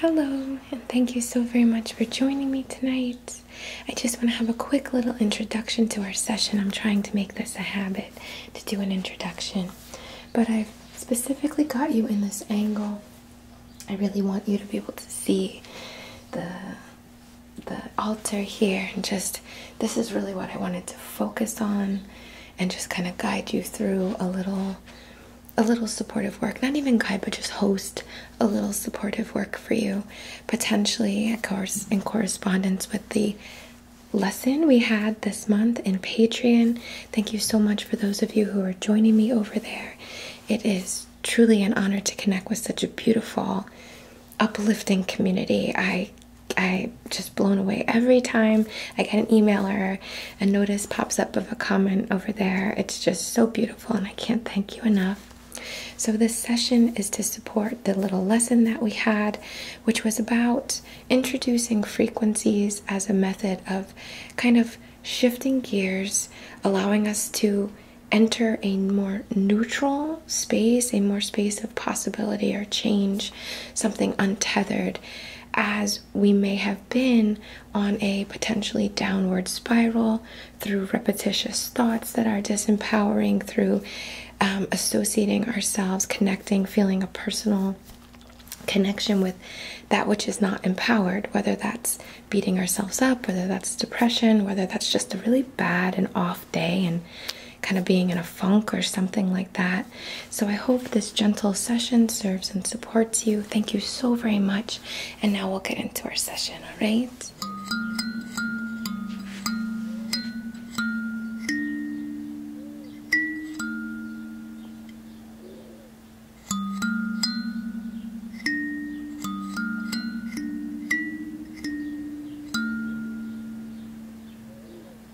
Hello, and thank you so very much for joining me tonight. I just want to have a quick little introduction to our session. I'm trying to make this a habit to do an introduction, but i specifically got you in this angle. I really want you to be able to see the the altar here and just this is really what I wanted to focus on and just kind of guide you through a little a little supportive work not even guide but just host a little supportive work for you potentially of course in correspondence with the lesson we had this month in Patreon thank you so much for those of you who are joining me over there it is truly an honor to connect with such a beautiful uplifting community. I I just blown away every time I get an email or a notice pops up of a comment over there. It's just so beautiful, and I can't thank you enough. So, this session is to support the little lesson that we had, which was about introducing frequencies as a method of kind of shifting gears, allowing us to enter a more neutral space, a more space of possibility or change, something untethered, as we may have been on a potentially downward spiral through repetitious thoughts that are disempowering, through um, associating ourselves, connecting, feeling a personal connection with that which is not empowered, whether that's beating ourselves up, whether that's depression, whether that's just a really bad and off day and kind of being in a funk or something like that. So I hope this gentle session serves and supports you. Thank you so very much. And now we'll get into our session, all right?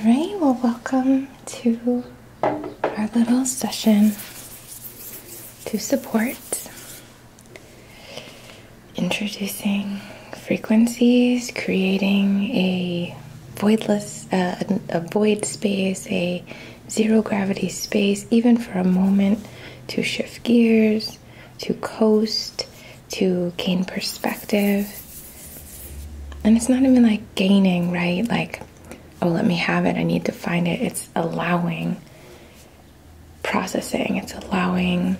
Alright, well, welcome to our little session to support Introducing frequencies, creating a voidless, uh, a void space, a zero gravity space, even for a moment, to shift gears, to coast, to gain perspective. And it's not even like gaining, right? Like, oh, let me have it, I need to find it. It's allowing processing, it's allowing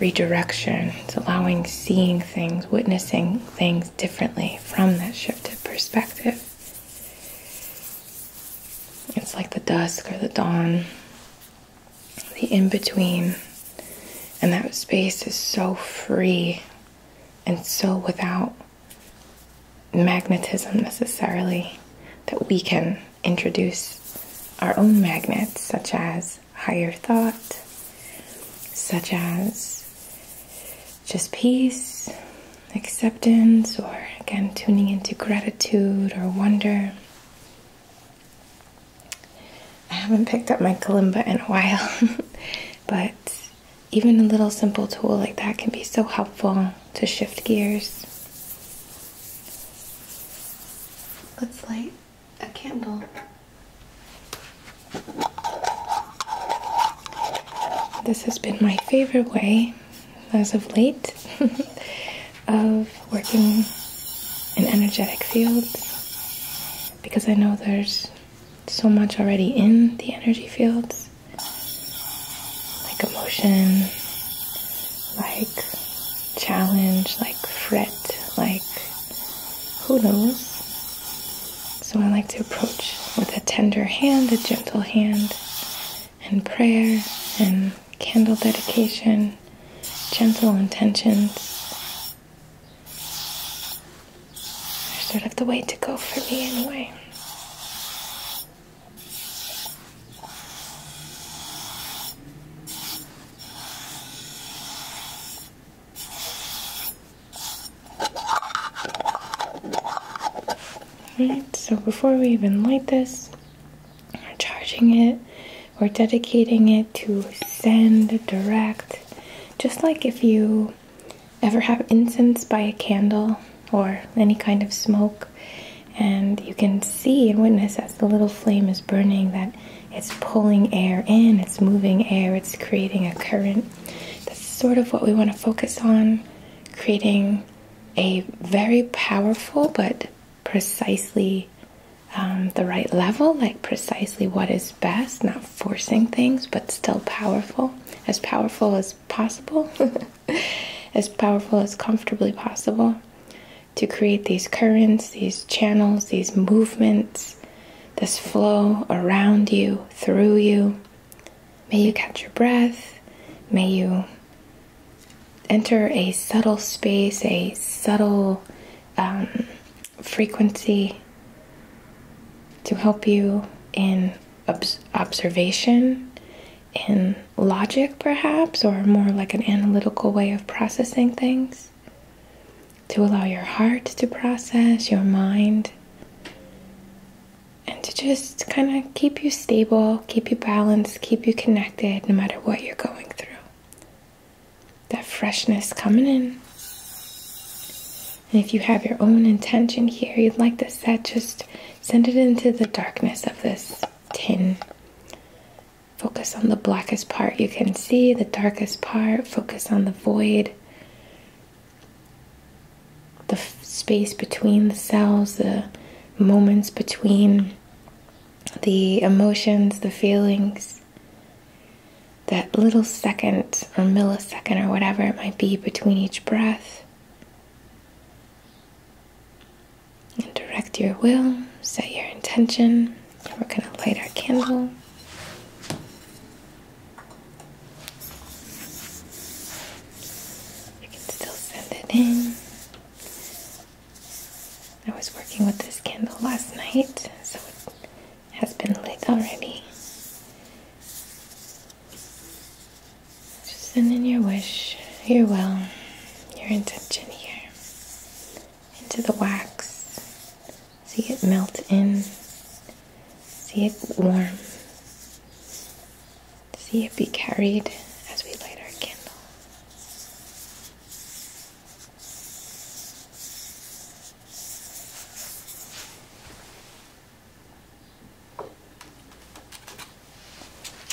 redirection, it's allowing seeing things, witnessing things differently from that shifted perspective. It's like the dusk or the dawn, the in between, and that space is so free and so without magnetism necessarily that we can introduce our own magnets, such as higher thought, such as just peace, acceptance, or again tuning into gratitude or wonder. I haven't picked up my kalimba in a while, but even a little simple tool like that can be so helpful to shift gears. Let's light a candle. This has been my favorite way as of late of working in energetic fields because I know there's so much already in the energy fields like emotion, like challenge, like fret, like who knows. So I like to approach with a tender hand, a gentle hand, and prayer and candle dedication, gentle intentions. They're sort of the way to go for me, anyway. Alright, so before we even light this, we're charging it, we're dedicating it to send, direct, just like if you ever have incense by a candle or any kind of smoke and you can see and witness as the little flame is burning that it's pulling air in, it's moving air, it's creating a current. That's sort of what we want to focus on creating a very powerful but precisely um, the right level, like precisely what is best, not forcing things, but still powerful, as powerful as possible, as powerful as comfortably possible to create these currents, these channels, these movements, this flow around you, through you. May you catch your breath. May you enter a subtle space, a subtle um, frequency to help you in observation, in logic, perhaps, or more like an analytical way of processing things. To allow your heart to process, your mind, and to just kind of keep you stable, keep you balanced, keep you connected no matter what you're going through. That freshness coming in. And if you have your own intention here you'd like to set, just send it into the darkness of this tin Focus on the blackest part you can see, the darkest part. Focus on the void, the space between the cells, the moments between the emotions, the feelings. That little second or millisecond or whatever it might be between each breath and direct your will, set your intention. We're going to light our candle. You can still send it in. I was working with this candle last night, so it has been lit already. Just send in your wish, your will, your intention here into the wax. See it melt in. See it warm. See it be carried as we light our candle.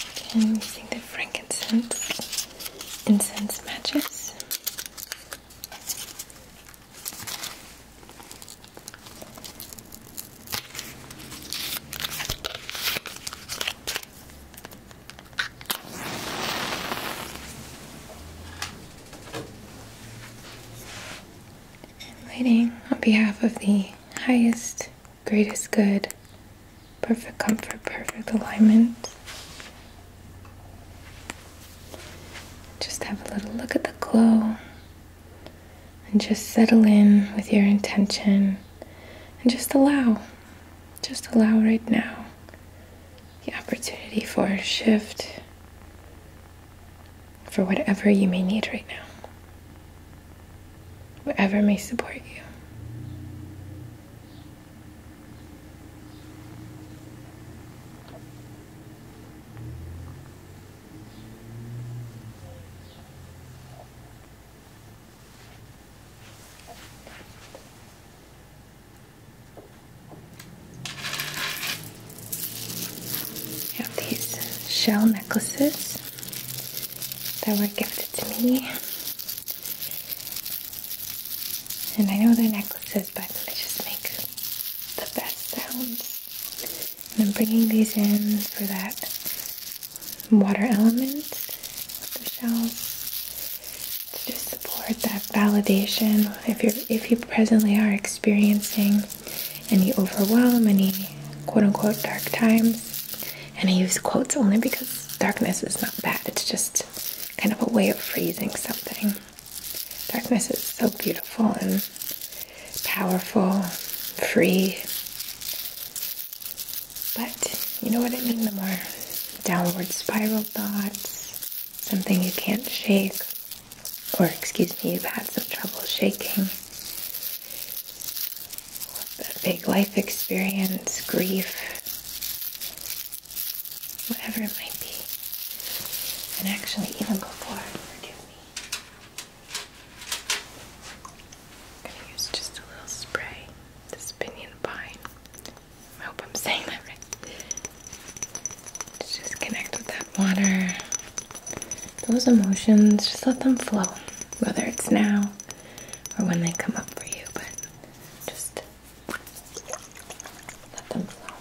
Okay, I'm using the frankincense incense matches. And lighting on behalf of the highest, greatest good perfect comfort, perfect alignment. Just have a little look at the glow and just settle in with your intention and just allow, just allow right now the opportunity for a shift for whatever you may need right now, whatever may support you. I have these shell necklaces that were gifted to me and I know they necklaces, but they just make the best sounds. And I'm bringing these in for that water element the shells to just support that validation. If you are if you presently are experiencing any overwhelm, any quote unquote dark times, and I use quotes only because darkness is not bad, it's just kind of a way of phrasing something. Darkness is so beautiful and powerful, free. But you know what I mean? The more downward spiral thoughts, something you can't shake, or excuse me, you've had some trouble shaking. A big life experience, grief, whatever it might be. And actually, even before, I'm gonna use just a little spray, this pinion pine. I hope I'm saying that right. Just connect with that water. Those emotions, just let them flow, whether it's now or when they come up for you, but just let them flow.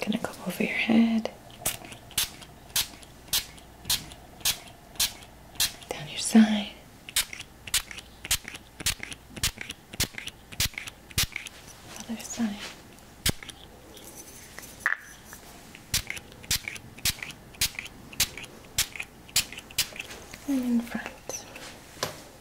gonna go over your head, down your side. Other side. And in front.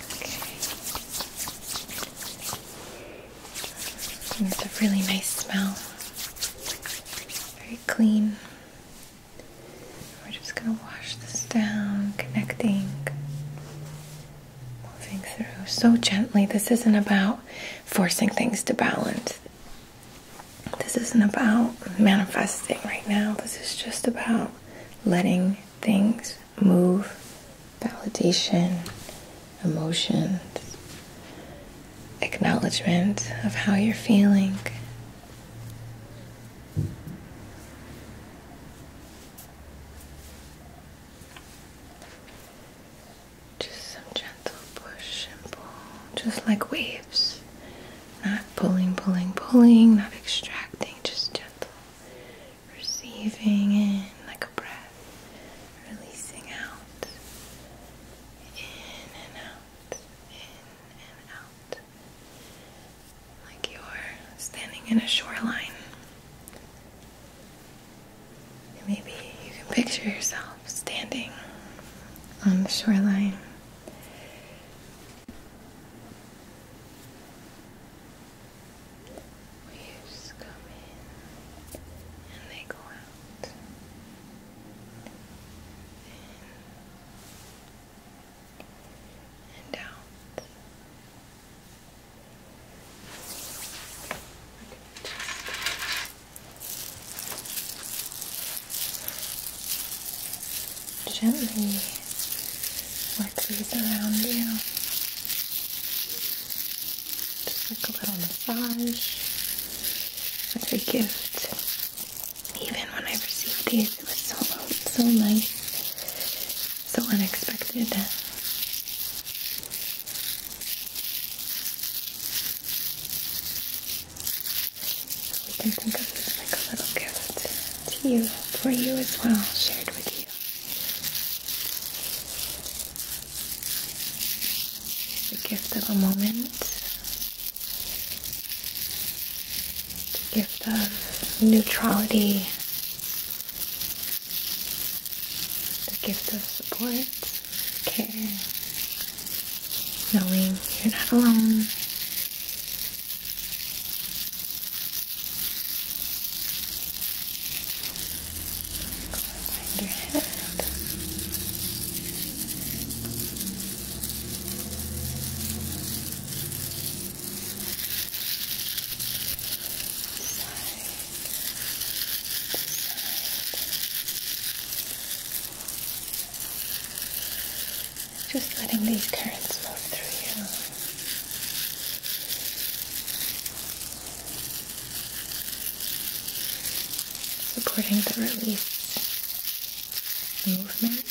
Okay. It's a really nice smell. Very clean. We're just going to wash this down, connecting, moving through so gently. This isn't about forcing things to balance. This isn't about manifesting right now. This is just about letting things move, validation, emotions, acknowledgement of how you're feeling. Just some gentle push and pull, just like waves. Not pulling, pulling, pulling, not extracting, just gentle receiving in like a breath, releasing out, in and out, in and out, like you're standing in a shoreline. maybe you can picture yourself standing on the shoreline. Waves come in and they go out. and out. Just gently let these around you. Just like a little massage like a gift. Even when I received these, it was so so nice, so unexpected. So we can think of this like a little gift to you, for you as well, shared with you the gift of a moment, the gift of neutrality, the gift of support, care, knowing you're not alone. Behind your head. Just letting these currents move through you supporting the release movement.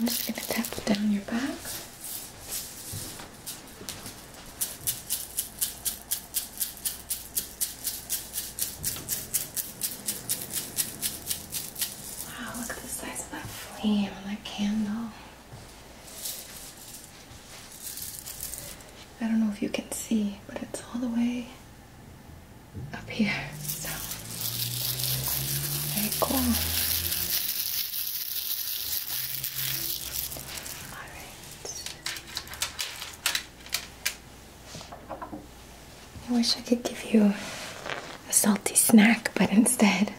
I'm just going to tap down your back. Wow, look at the size of that flame on that candle. I don't know if you can see, but it's all the way up here. So very cool. Alright. I wish I could give you a salty snack, but instead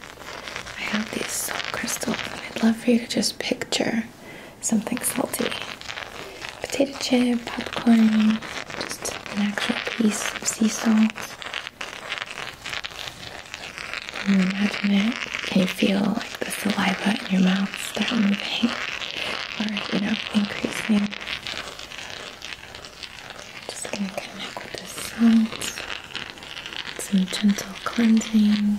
I have these salt crystals I'd love for you to just picture something salty. Potato chip, popcorn, just an extra piece of sea salt. Can you imagine it? Can you feel like the saliva in your mouth start moving or, you know, increasing? Just gonna connect with the salt, some gentle cleansing.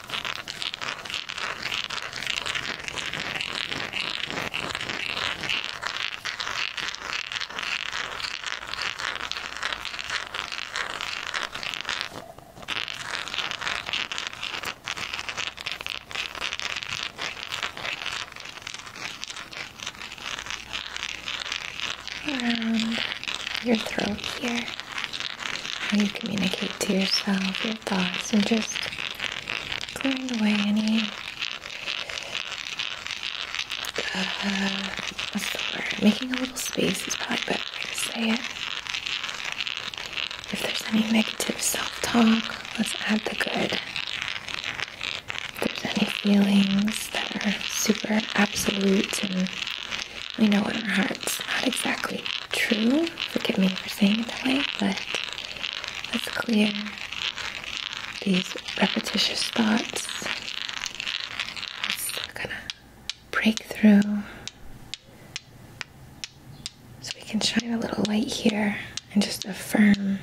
Around your throat here, how you communicate to yourself, your thoughts, and just cleaned away any uh, what's the word? Making a little space is probably better way to say it. If there's any negative self-talk, let's add the good. If there's any feelings that are super absolute and we know in our hearts not exactly true, you. Forgive me for saying it that way, but let's clear these repetitious thoughts. Let's kind break through. So we can shine a little light here and just affirm.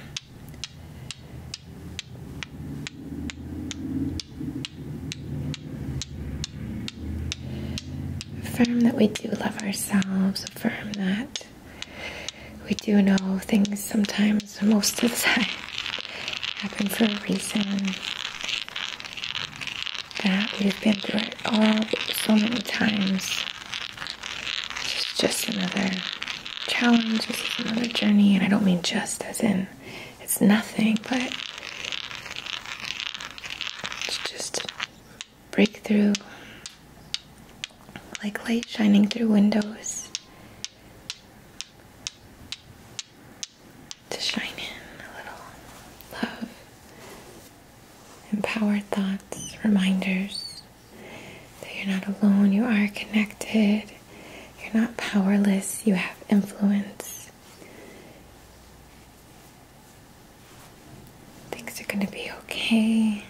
Affirm that we do love ourselves also that we do know things sometimes, most of the time, happen for a reason. That we've been through it all so many times. It's just another challenge, just another journey, and I don't mean just as in it's nothing, but it's just Breakthrough, like light shining through windows to shine in a little love, empowered thoughts, reminders that you're not alone, you are connected, you're not powerless, you have influence. Things are going to be okay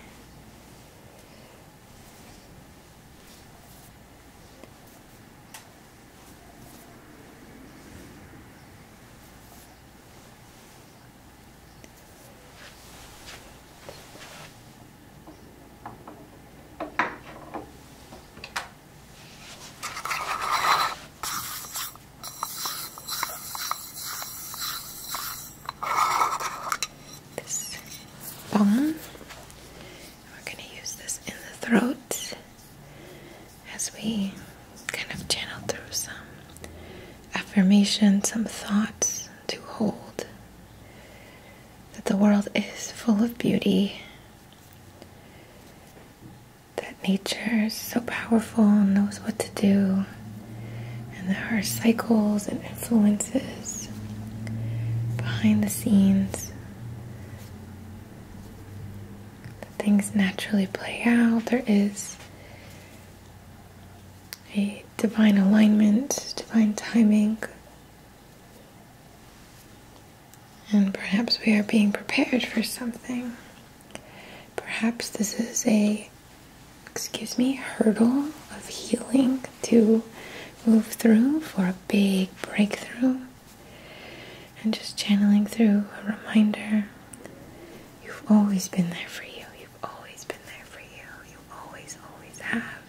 this bone. We're going to use this in the throat as we kind of channel through some affirmation, some thoughts to hold that the world is full of beauty, that nature is so powerful and knows what to do and there are cycles and influences behind the scenes. things naturally play out. There is a divine alignment, divine timing. And perhaps we are being prepared for something. Perhaps this is a excuse me, hurdle of healing to move through for a big breakthrough. And just channeling through a reminder you've always been there for you, you've always been there for you, you always, always have.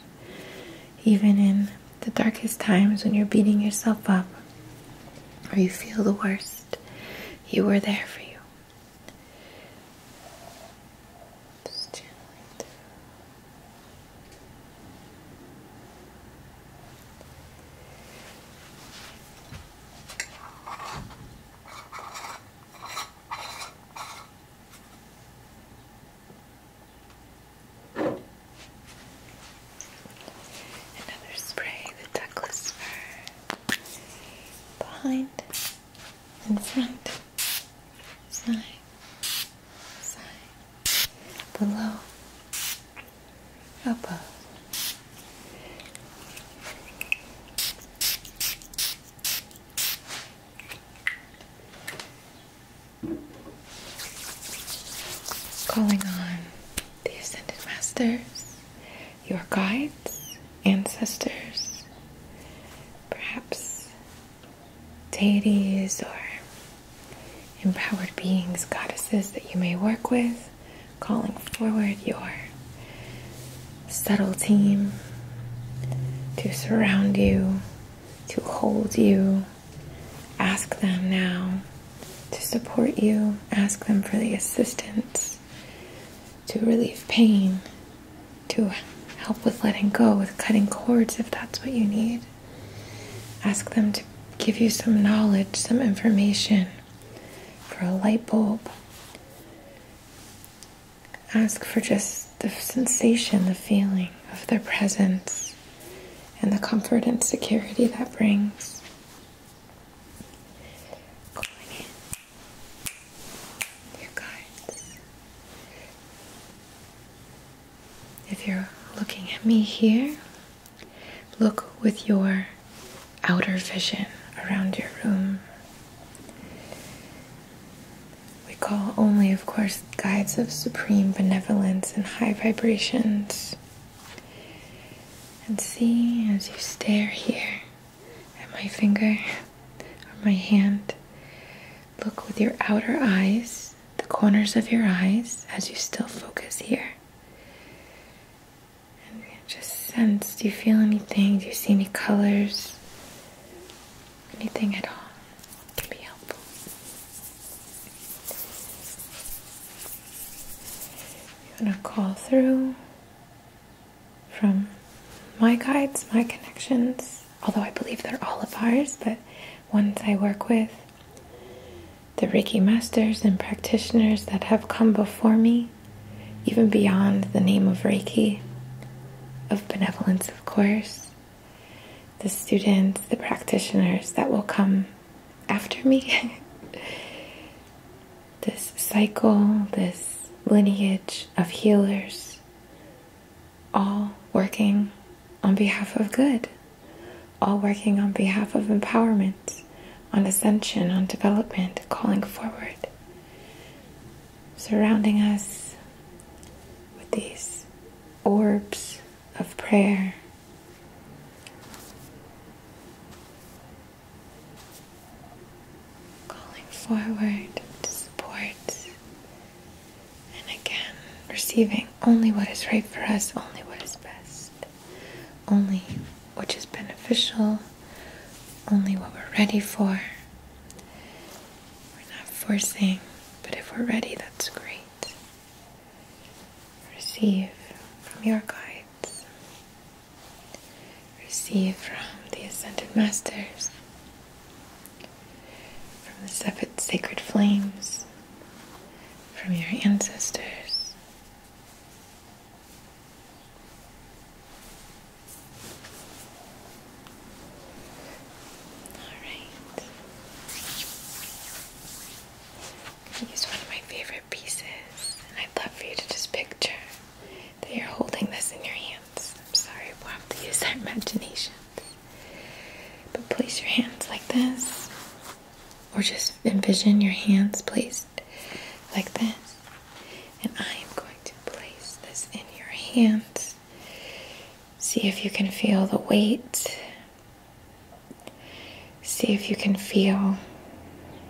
Even in the darkest times when you're beating yourself up or you feel the worst, you were there for you. Just channeling Another spray, the Douglas fir behind in front, side, side, below, above. Calling on the Ascended Masters, your guides, ancestors, perhaps deities or empowered beings, goddesses that you may work with, calling forward your subtle team to surround you, to hold you. Ask them now to support you, ask them for the assistance to relieve pain, to help with letting go, with cutting cords if that's what you need. Ask them to give you some knowledge, some information for a light bulb. Ask for just the sensation, the feeling of their presence, and the comfort and security that brings you guys. If you're looking at me here, look with your outer vision around your room. We call only, of course, guides of supreme benevolence and high vibrations. And see as you stare here at my finger or my hand. Look with your outer eyes, the corners of your eyes, as you still focus here. just sense do you feel anything? Do you see any colors? Anything at all can be helpful. You want to call through from my guides, my connections, although I believe they're all of ours, but ones I work with, the Reiki masters and practitioners that have come before me, even beyond the name of Reiki, of benevolence, of course, the students, the practitioners that will come after me. this cycle, this lineage of healers, all working on behalf of good, all working on behalf of empowerment, on ascension, on development, calling forward, surrounding us with these orbs of prayer. Calling forward to support and again receiving only what is right for us, only what is best, only which is beneficial, only what we're ready for. We're not forcing, but if we're ready, that's great. Receive from your guides receive from the Ascended Masters, from the sacred flames, from your ancestors. alright use one of my favorite pieces, I'd love for you to just picture that you're holding this in your hands. I'm sorry, we'll have to use our imaginations. But place your hands like this, or just envision your hands placed like this. And I am going to place this in your hands. See if you can feel the weight. See if you can feel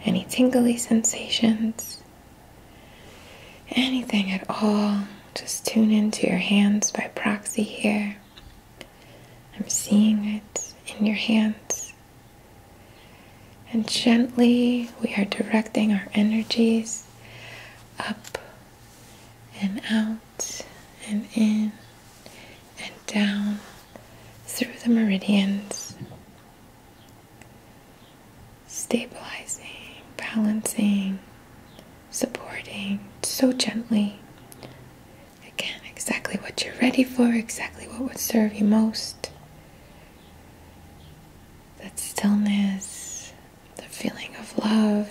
any tingly sensations anything at all, just tune into your hands by proxy here. I'm seeing it in your hands. And gently, we are directing our energies up and out and in and down through the meridians stabilizing, balancing, supporting so gently. Again, exactly what you're ready for, exactly what would serve you most. That stillness, the feeling of love.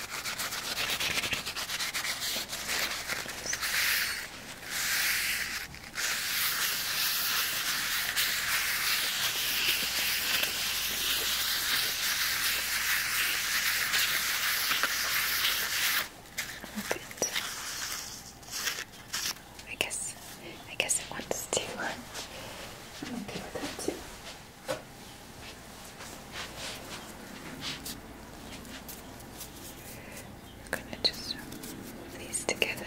Oh, I guess, I guess it wants to. I'm okay with that too. I'm gonna just move these together.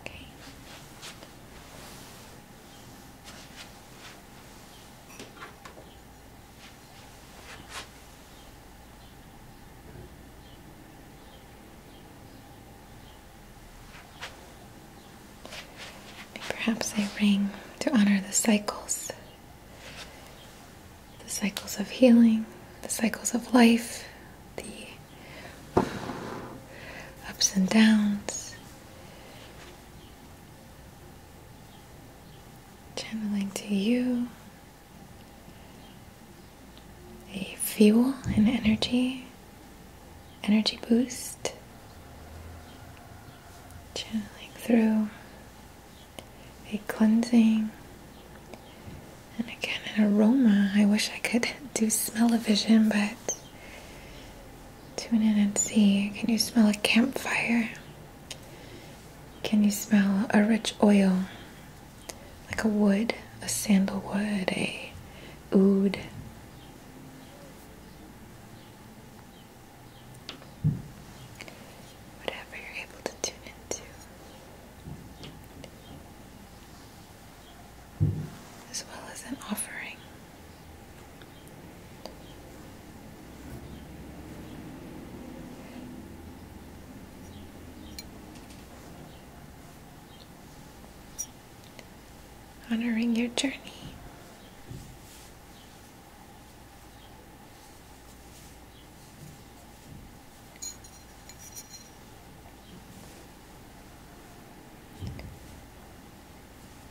Okay. Perhaps a ring to honor the cycles the cycles of healing, the cycles of life, the ups and downs channeling to you a fuel and energy, energy boost, channeling through a cleansing. And again, an aroma. I wish I could do smell of vision, but Tune in and see. Can you smell a campfire? Can you smell a rich oil? Like a wood, a sandalwood, a oud. Whatever you're able to tune into. As well as an offering honoring your journey.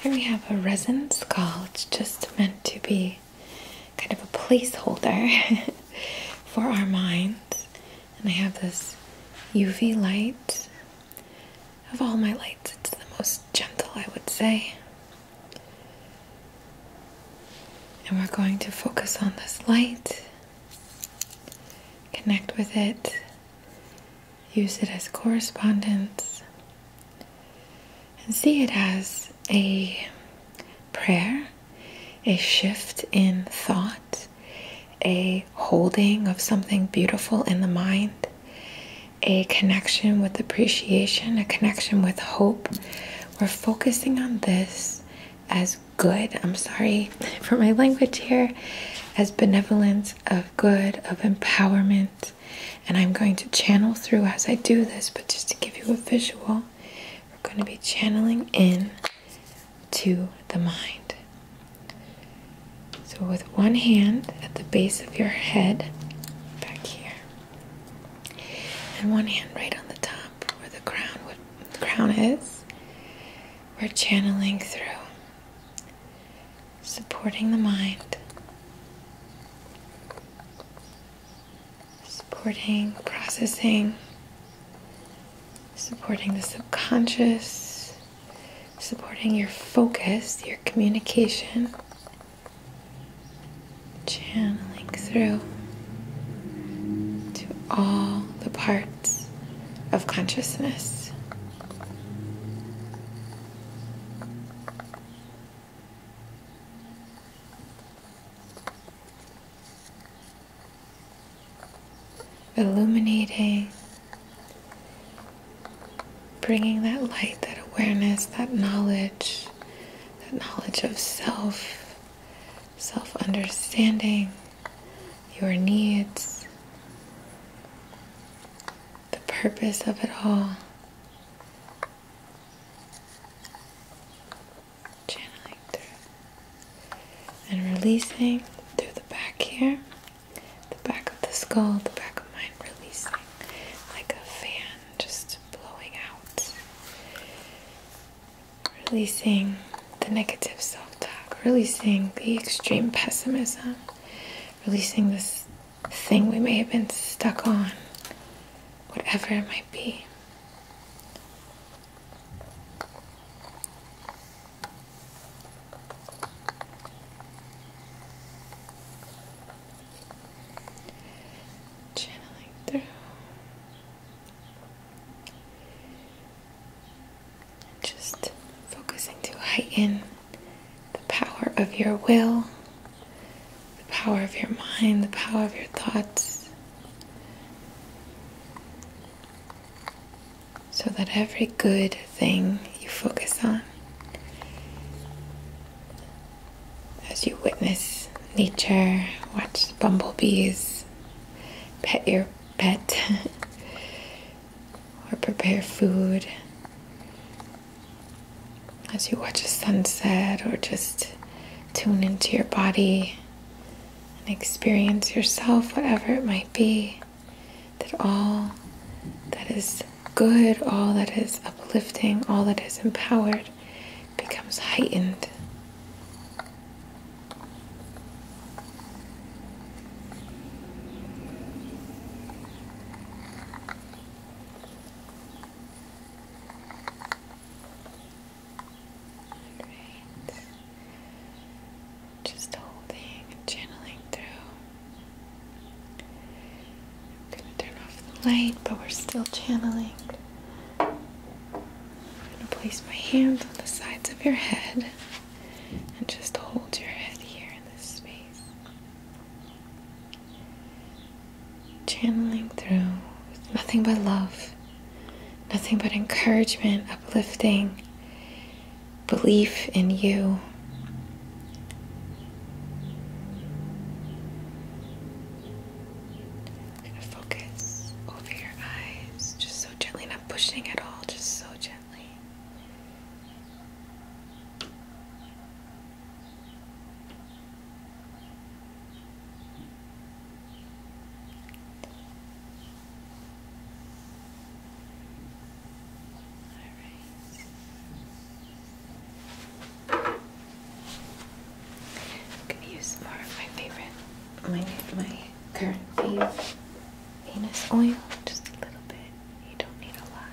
Here we have a resin skull. It's just meant to be kind of a placeholder for our minds. And I have this UV light. Of all my lights, it's the most gentle, I would say. And we're going to focus on this light, connect with it, use it as correspondence, and see it as a prayer, a shift in thought, a holding of something beautiful in the mind, a connection with appreciation, a connection with hope. We're focusing on this as good. I'm sorry for my language here. As benevolence, of good, of empowerment and I'm going to channel through as I do this, but just to give you a visual, we're going to be channeling in to the mind. So, with one hand at the base of your head, back here, and one hand right on the top where the crown, the crown is, we're channeling through, supporting the mind supporting processing, supporting the subconscious, supporting your focus, your communication, channeling through to all the parts of consciousness illuminating, bringing that light, that awareness, that knowledge, that knowledge of self, self understanding, your needs, the purpose of it all channeling through and releasing through the back here, the back of the skull, the back of mine, releasing like a fan just blowing out, releasing the negative self talk, releasing the extreme pessimism, releasing this thing we may have been stuck on, whatever it might be. Channeling through. Just focusing to heighten the power of your will, the power of your mind, the power of your thoughts, so that every good thing you focus on, as you witness nature, watch bumblebees, pet your pet, or prepare food as you watch a sunset or just tune into your body and experience yourself, whatever it might be, that all that is good, all that is uplifting, all that is empowered becomes heightened. Just holding channeling through. I'm gonna turn off the light, but we're still channeling. I'm gonna place my hands on the sides of your head and just hold your head here in this space channeling through nothing but love, nothing but encouragement, uplifting, belief in you. I'm gonna focus over your eyes, just so gently, not pushing at all, just so gently i right. I'm gonna use more of my favorite, my my current fave penis oil, just a little bit. You don't need a lot.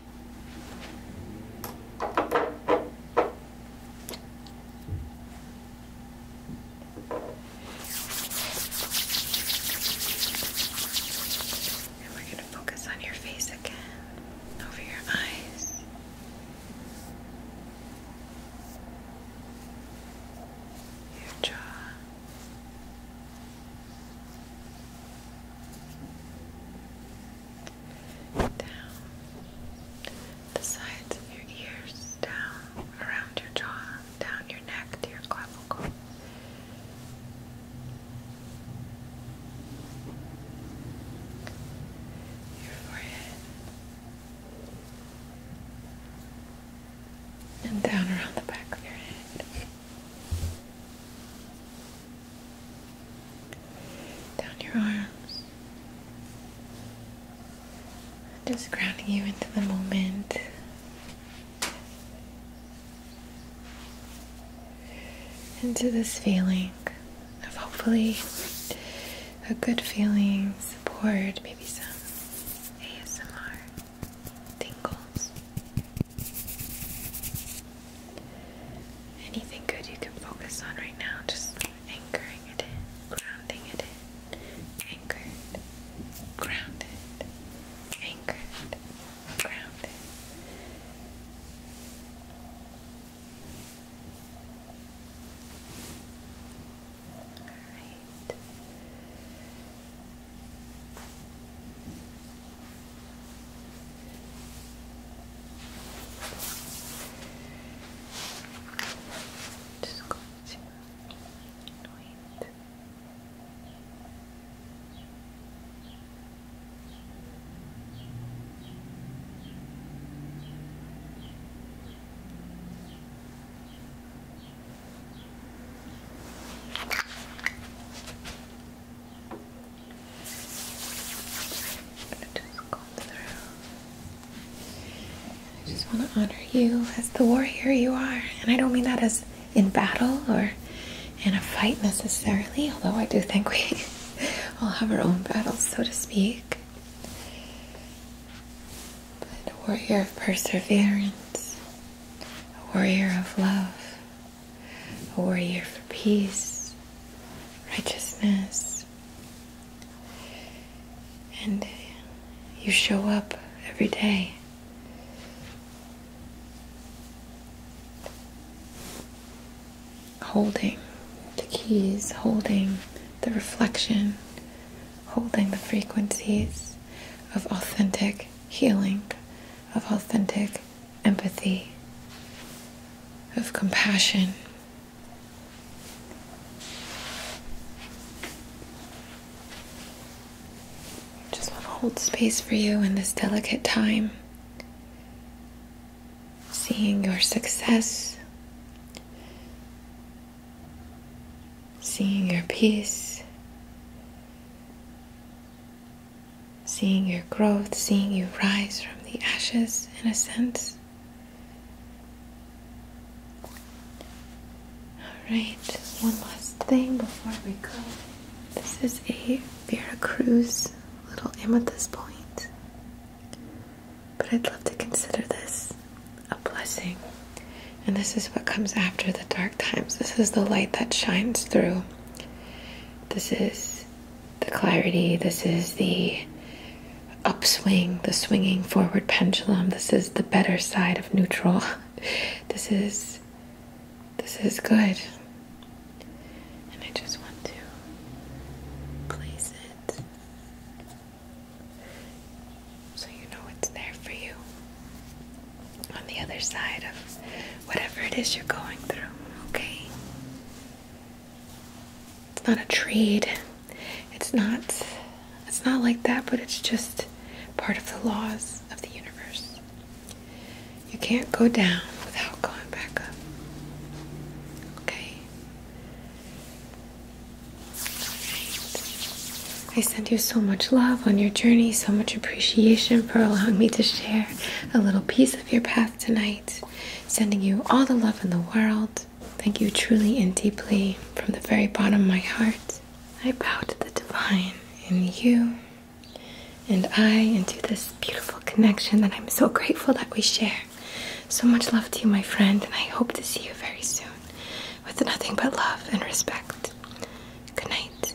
And we're going to focus on your face again, over your eyes. Your jaw, down the sides of your ears, down around your jaw, down your neck to your clavicle. Your forehead and down around the back of your head down your arms, just grounding you into the moment. Into this feeling of hopefully a good feeling, support, maybe some ASMR tingles. Anything good you can focus on right now, just anchoring it in, grounding it in, anchored, grounded, anchored, grounded. Alright. Just going to wait i just just want to honor you as the warrior you are, and I don't mean that as in battle or in a fight necessarily, although I do think we all have our own battles, so to speak. But a warrior of perseverance, a warrior of love, a warrior for peace, righteousness. And you show up every day. Holding the keys, holding the reflection, holding the frequencies of authentic healing of authentic empathy, of compassion. Just want to hold space for you in this delicate time. Seeing your success, seeing your peace, seeing your growth, seeing you rise from the ashes in a sense. Alright, one last thing before we go. This is a Vera Cruz little this point, but I'd love to consider this a blessing. And this is what comes after the dark times. This is the light that shines through this is the clarity. This is the upswing, the swinging forward pendulum. This is the better side of neutral. This is this is good. And I just want to place it so you know it's there for you on the other side of whatever it is you're going through, okay? It's not a trade. It's not it's not like that, but it's just part of the laws of the universe. You can't go down without going back up. Okay. Right. I send you so much love on your journey, so much appreciation for allowing me to share a little piece of your path tonight. Sending you all the love in the world. Thank you truly and deeply from the very bottom of my heart. I bow to the divine in you and I into this beautiful connection that I'm so grateful that we share. So much love to you, my friend, and I hope to see you very soon with nothing but love and respect. Good night.